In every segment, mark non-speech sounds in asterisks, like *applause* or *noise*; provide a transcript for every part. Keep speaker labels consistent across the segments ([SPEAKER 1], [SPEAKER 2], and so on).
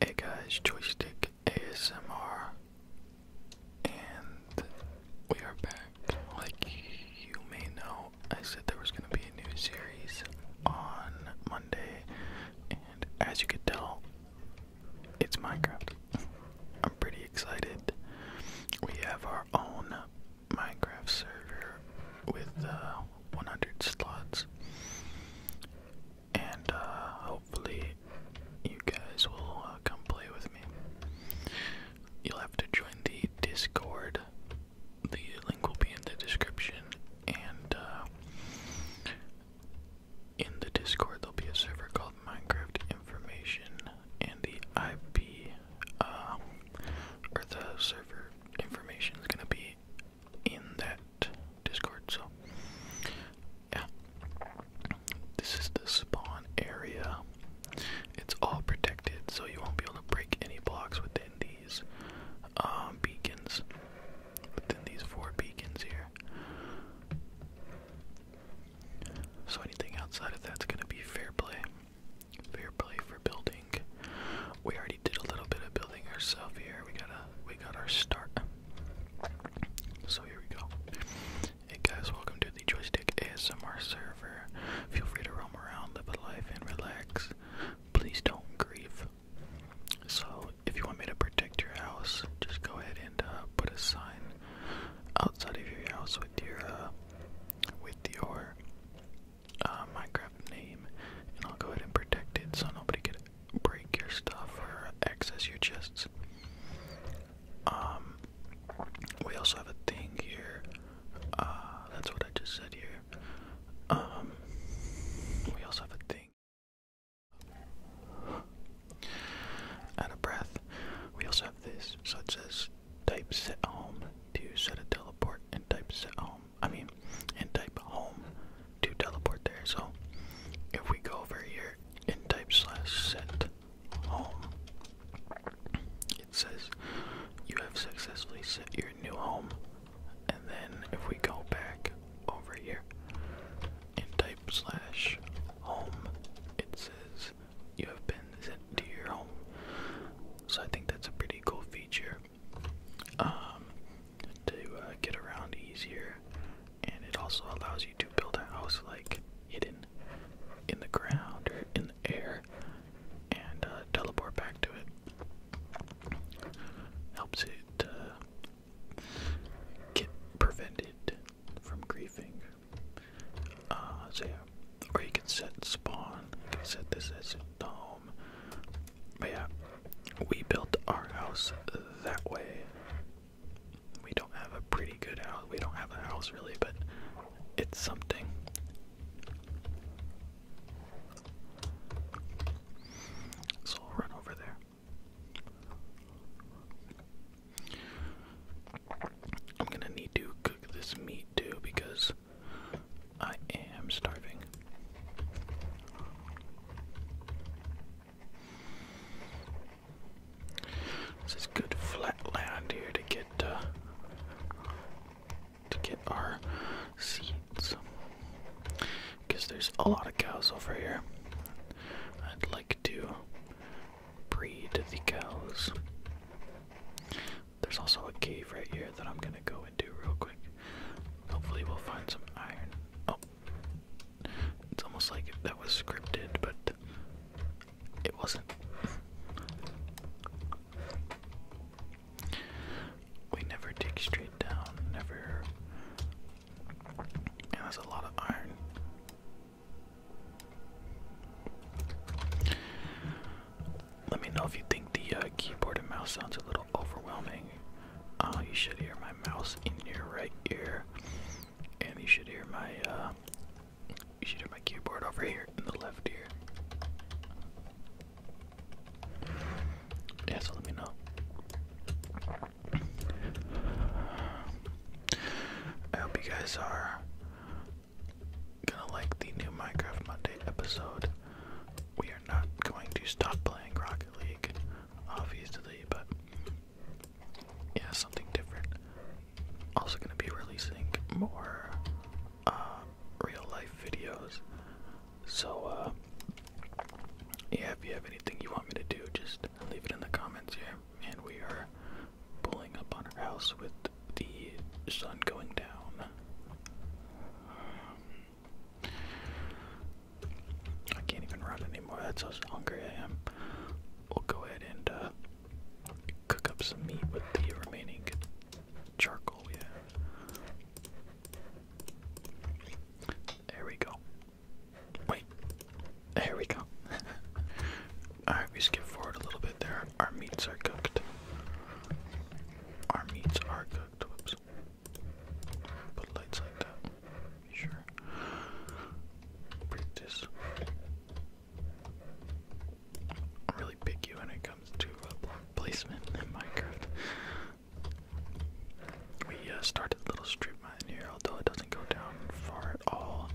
[SPEAKER 1] Hey guys, Joystick ASMR, and we are back. Like you may know, I said there was going to be a new series on Monday, and as you could tell, it's Minecraft. I'm pretty excited. We have our own Minecraft server with uh, 100 slots. And uh, hopefully, you guys will uh, come play with me. You'll have to join the Discord. The link will be in the description. And uh, in the Discord, there'll be a server called Minecraft Information. And the IP, or the server information is going to be in that Discord. So, yeah, this is the spawn area. It's all protected, so you won't be able to break any blocks within these um, beacons. Within these four beacons here. So anything outside of that's gonna be fair play. Fair play for building. We already did a little bit of building ourselves here. We got our start. So here we go. Hey guys, welcome to the Joystick ASMR server. Feel free to roam around, live a life, and relax. Please don't grieve. So if you want me to protect your house, just go ahead and uh, put a sign outside of your house with your uh, with your uh, Minecraft name, and I'll go ahead and protect it so nobody could break your stuff or access your chests. Um, we also have a thing here. Uh, that's what I just said here. Um, we also have a thing. Out of breath. We also have this. So it says type set home to set a teleport and type set home I mean, and type home to teleport there. So if we go over here and type slash set home, it says you have successfully set your new home. And then if we go back over here and type slash home, it says you have been sent to your home. So I think that's a pretty cool feature um, to uh, get around easier, and it also allows you to build a house like hidden in the ground or in the air, and uh, teleport back to it. Helps it uh, get prevented from griefing. so yeah, or you can set spawn. You can set this as no. But yeah, we built our house that way. We don't have a pretty good house. We don't have a house really, but it's something. So run over there. I'm gonna need to cook this meat too because I am starving. This is good flat land here to get uh, to get our seeds. Because there's a lot of cows over here. I'd like to breed the cows. There's also a cave right here that I'm gonna go into real quick. Hopefully we'll find some iron. Oh. It's almost like that was scripted, but it wasn't. We never dig straight down, never. And that's a lot of iron. Let me know if you think the uh, keyboard and mouse sounds a little overwhelming. Uh, you should hear my mouse in your right ear, and you should hear my uh, you should hear my keyboard over here in the left ear. Yeah, so let me know. I hope you guys are gonna like the new Minecraft Monday episode. We are not going to stop playing Rocket League, obviously, but yeah, something different. Also gonna be releasing more uh, real life videos. So uh, yeah, if you have anything you want me to do, just leave it in the comments here. And we are pulling up on our house with the sun going down. I can't even run anymore. That's how hungry I am. We'll go ahead and uh, cook up some meat with the remaining charcoal we have. There we go. Wait. There we go. *laughs* Alright, we skip forward a little bit there our meats are cooked. Our meats are cooked. Whoops. Put lights like that. sure. Break this. I'm when it comes to uh, placement in Minecraft. We uh, started a little strip mine here, although it doesn't go down far at all.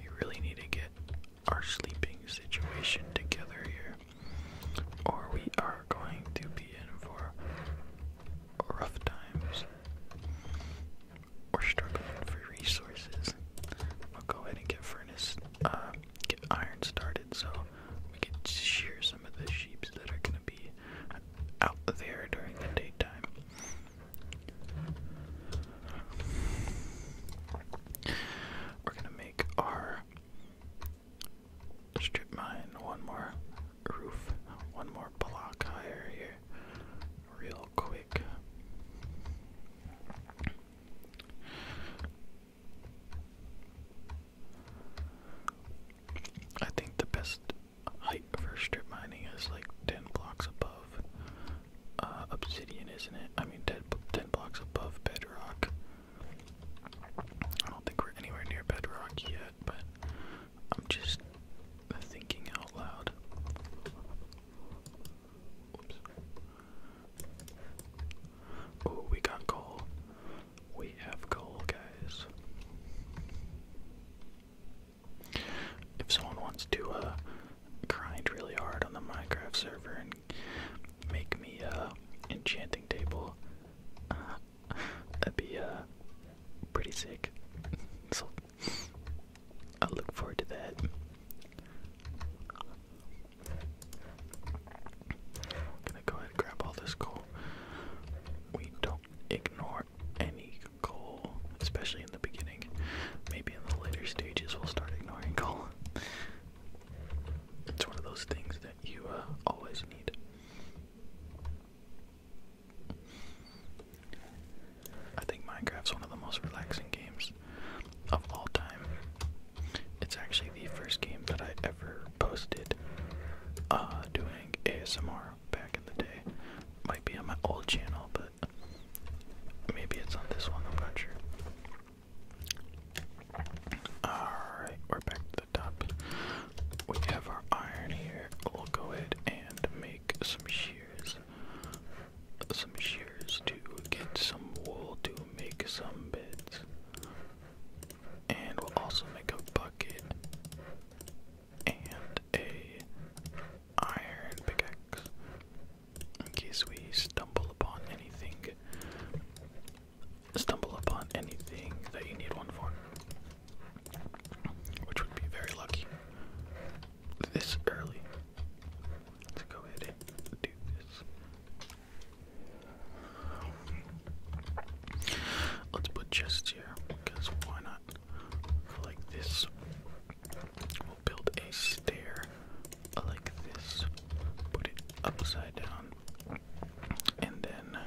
[SPEAKER 1] We really need to get our sleeping situation together here, or we are going to be in for rough times. We're struggling for resources. We'll go ahead and get furnace, uh, get iron started so we can shear some of the sheep that are going to be out there during the daytime. We're gonna make our strip mine one more roof, one more block higher here, real quick. I think the best height for strip mining is like 10 blocks above uh, obsidian, isn't it? I mean, ten, 10 blocks above bedrock. I don't think we're anywhere near bedrock yet, but I'm just thinking out loud. Oops. Oh, we got coal. We have coal, guys. If someone wants to uh, grind really hard on the Minecraft server and make me a uh, enchanting table. *laughs* that'd be uh, pretty sick. *laughs* so I look forward to that. I'm gonna go ahead and grab all this coal. We don't ignore any coal, especially in the beginning maybe in the later stages we'll start ignoring coal. It's one of those things that you uh, always need. I think Minecraft's one of the most relaxing games of all time. It's actually the first game that I ever posted uh, doing ASMR back in the day. Might be on my old channel, but Maybe it's on this one, I'm not sure. Alright, we're back to the top. We have our iron here. We'll go ahead and make some shears. Some shears to get some wool to make some beds. And we'll also make a bucket and a iron pickaxe in case we stumble upon anything. Stumble upon anything that you need one for, which would be very lucky this early. Let's go ahead and do this. Let's put chests here because why not? Like this. We'll build a stair like this, put it upside down, and then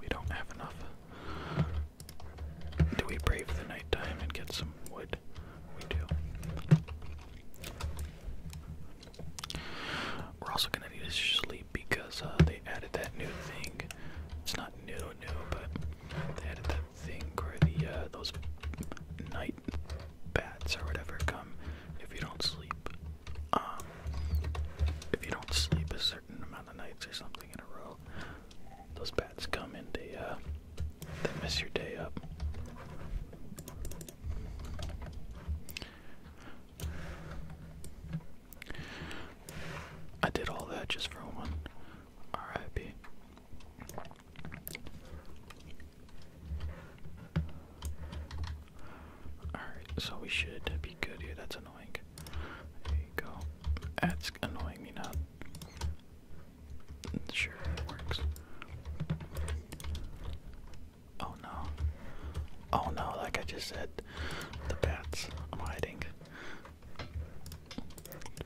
[SPEAKER 1] we don't have enough. Do we brave the nighttime and get some wood? We do. We're also gonna need to sleep because uh, they added that new thing. It's not new, new, but they added that thing where the uh, those night bats or whatever come if you don't sleep. Um, if you don't sleep a certain amount of nights or something in a row, those bats come and they uh, they mess your day up. I did all that just for one. R.I.P. Alright, so we should be good here. That's annoying. There you go. That's annoying me now. Sure, it works. Oh no. Oh no, like I just said, the bats. I'm hiding.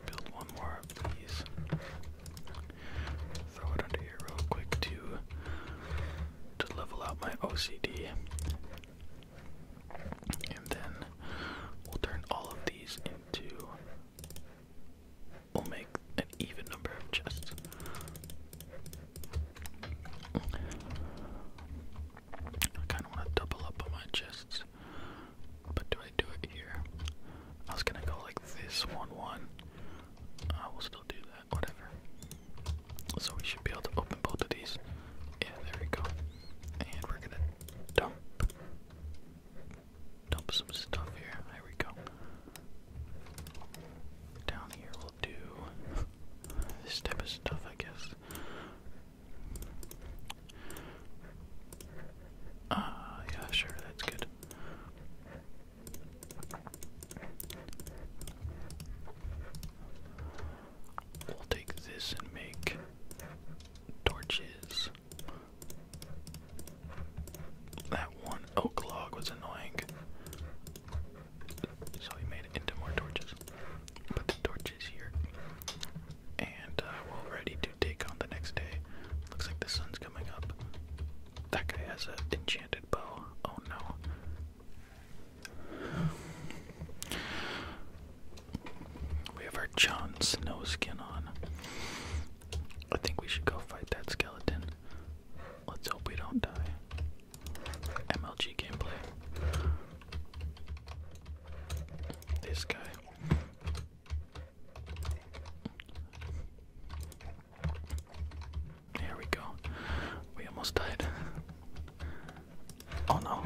[SPEAKER 1] Build one more of these. Throw it under here real quick to to level out my OCD. And then we'll turn all of these into we'll make an even number of chests. I kinda wanna double up on my chests. But do I do it here? I was gonna go like this 1 1. I will still do that, whatever. So we should be able to open both of these. Yeah, there we go. And we're gonna dump. Dump some stuff here. There we go. Down here we'll do *laughs* this type of stuff, I guess. Uh, yeah, sure, that's good. We'll take this and make torches. That one oak log was annoying. So we made it into more torches. Put the torches here. And uh, we'll ready to take on the next day. Looks like the sun's coming up. That guy has an enchanted bow. Oh no. We have our John Snow skin on. I think we should go fight that skeleton. Let's hope we don't die. MLG gameplay. This guy. Here we go. We almost died. Oh no.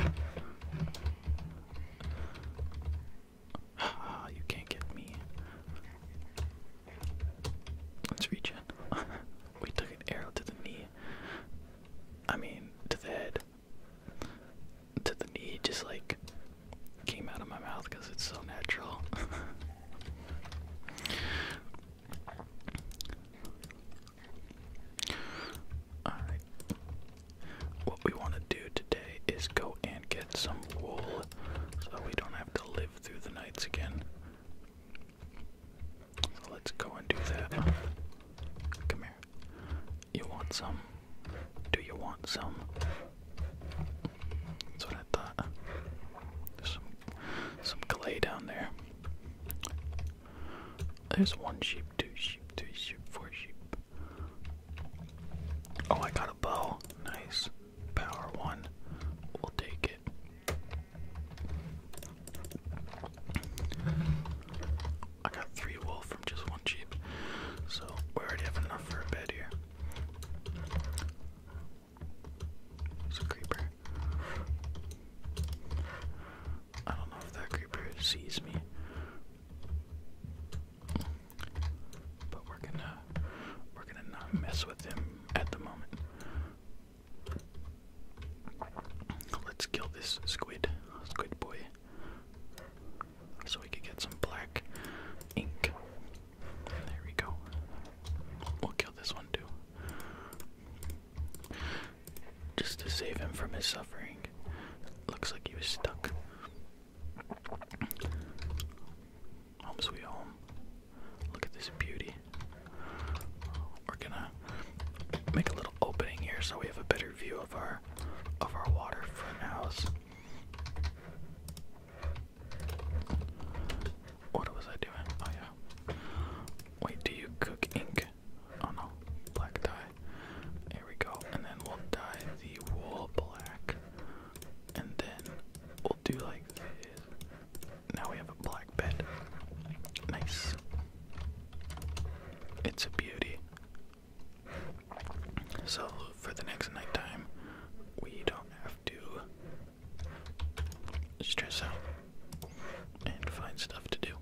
[SPEAKER 1] Ah, you can't get me. Let's reach *laughs* we took an arrow to the knee. I mean, to the head to the knee just like came out of my mouth because it's so natural. *laughs* Alright. What we want to do today is go and get some wool so we don't have to live through the nights again. let's go and do that. Come here. You want some? Do you want some? That's what I thought. There's some some clay down there. There's one sheep, two sheep, three sheep, four sheep. Oh, I got a bow. Nice. Power one. We'll take it. I got three wolf just one sheep. So we already have enough for a bed here. It's a creeper. I don't know if that creeper sees me. But we're gonna we're gonna not mess with him at the moment. Let's kill this squid, squid boy. So we could get some black ink. There we go. We'll kill this one too. Just to save him from his suffering. Looks like he was stuck. Home sweet home. Look at this beauty. We're gonna make a little opening here so we have a better view of our of our waterfront house. What was I doing? Oh yeah. Wait, do you cook ink? Oh no, black dye. There we go. And then we'll dye the wool black. And then we'll do like this. Now we have a black bed. Nice. It's a beauty. So for the next nighttime, we don't have to stress out and find stuff to do.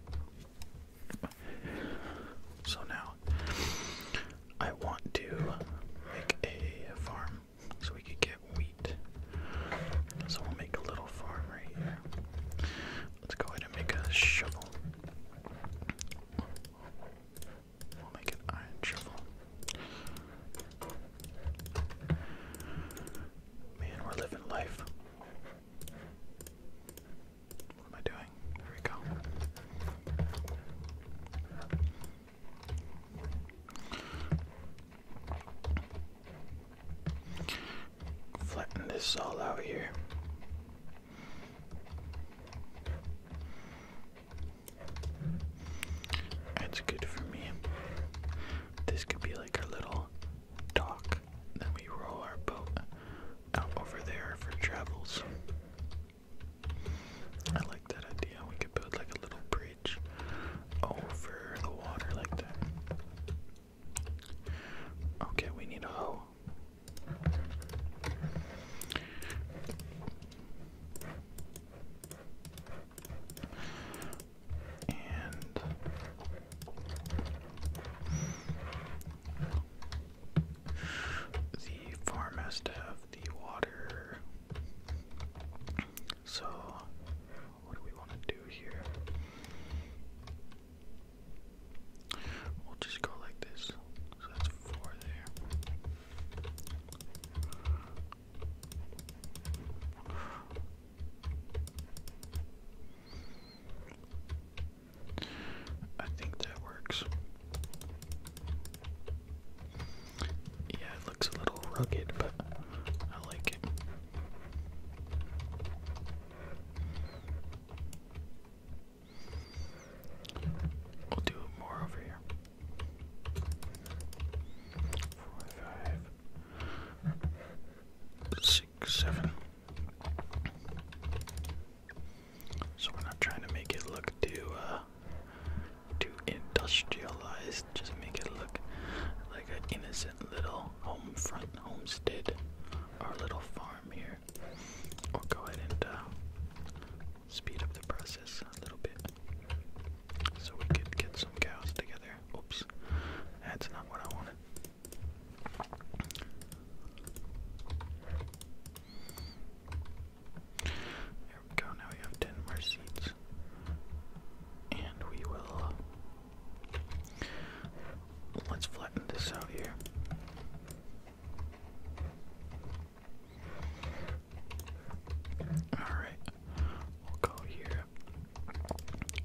[SPEAKER 1] So now I want to make a farm so we can get wheat. So we'll make a little farm right here. Let's go ahead and make a shovel. We'll make an iron shovel. Man, we're living life. What am I doing? There we go. Flatten this all out here. That's good for me. This could be like our little dock. Then we roll our boat out over there for travels. I like that idea. We could build like a little bridge over the water like that. Okay, we need a hoe. And the farm has to have the water. So, what do we want to do here? We'll just go like this. So that's four there. I think that works. Yeah, it looks a little rugged, but I like it. We'll do it more over here. Four, five, six, seven. So we're not trying to make it look too, uh, too industrialized. Just make it look like an innocent little home homestead, our little farm here here. go ahead and uh, speed up the process a little bit so we could get some cows together. Oops, that's not what I wanted. There we go, now we have 10 more seeds. And we will Let's flatten this out here. Alright, we'll go here.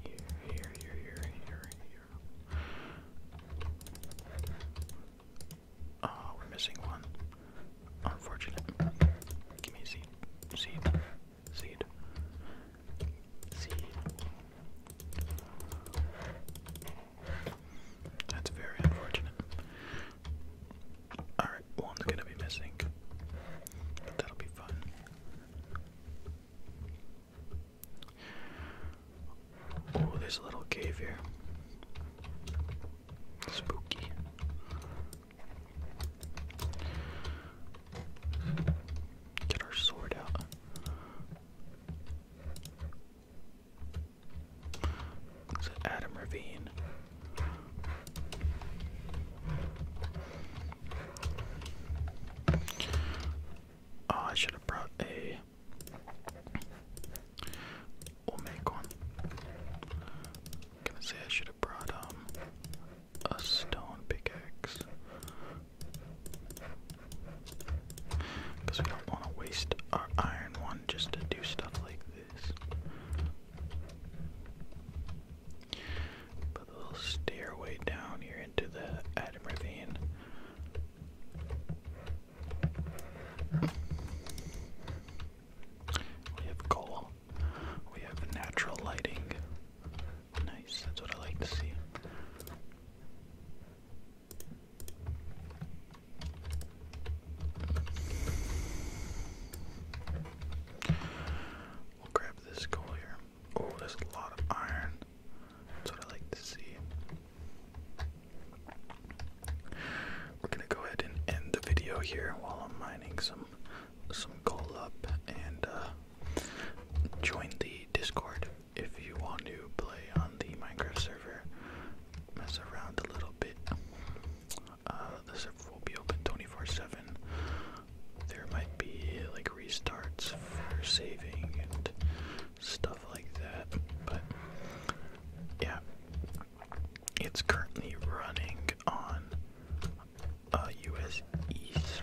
[SPEAKER 1] Here, here, here, here, here, here. Oh, we're missing one. Unfortunate. Give me a seed. Seed. Seed. That's very unfortunate. Alright, one's gonna be missing. But that'll be fun. Oh, there's a little cave here. Spooky. Get our sword out. Adam Ravine? Oh, I should have brought a. We'll make one. gonna say I should have brought um a stone pickaxe. Because we don't want to waste our iron one just to do stuff like this. Put a little stairway down here into the Adam Ravine. We have coal. We have natural lighting. Nice, that's what I like to see. We'll grab this coal here. Oh, there's a lot of iron. That's what I like to see. We're gonna go ahead and end the video here while I'm mining some some coal up and uh, join the Discord if you want to play on the Minecraft server, mess around a little bit. Uh, the server will be open 24 7. There might be like restarts for saving and stuff like that, but yeah, it's currently running on uh, US East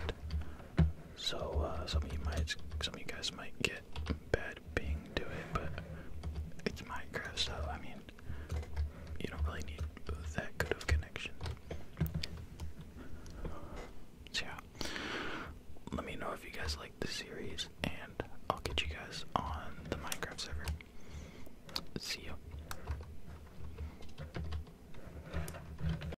[SPEAKER 1] so uh, some of you might, some of you guys might get bad ping to it, but it's Minecraft, so I mean, you don't really need that good of connection. So yeah, let me know if you guys like this series, and I'll get you guys on the Minecraft server. See you.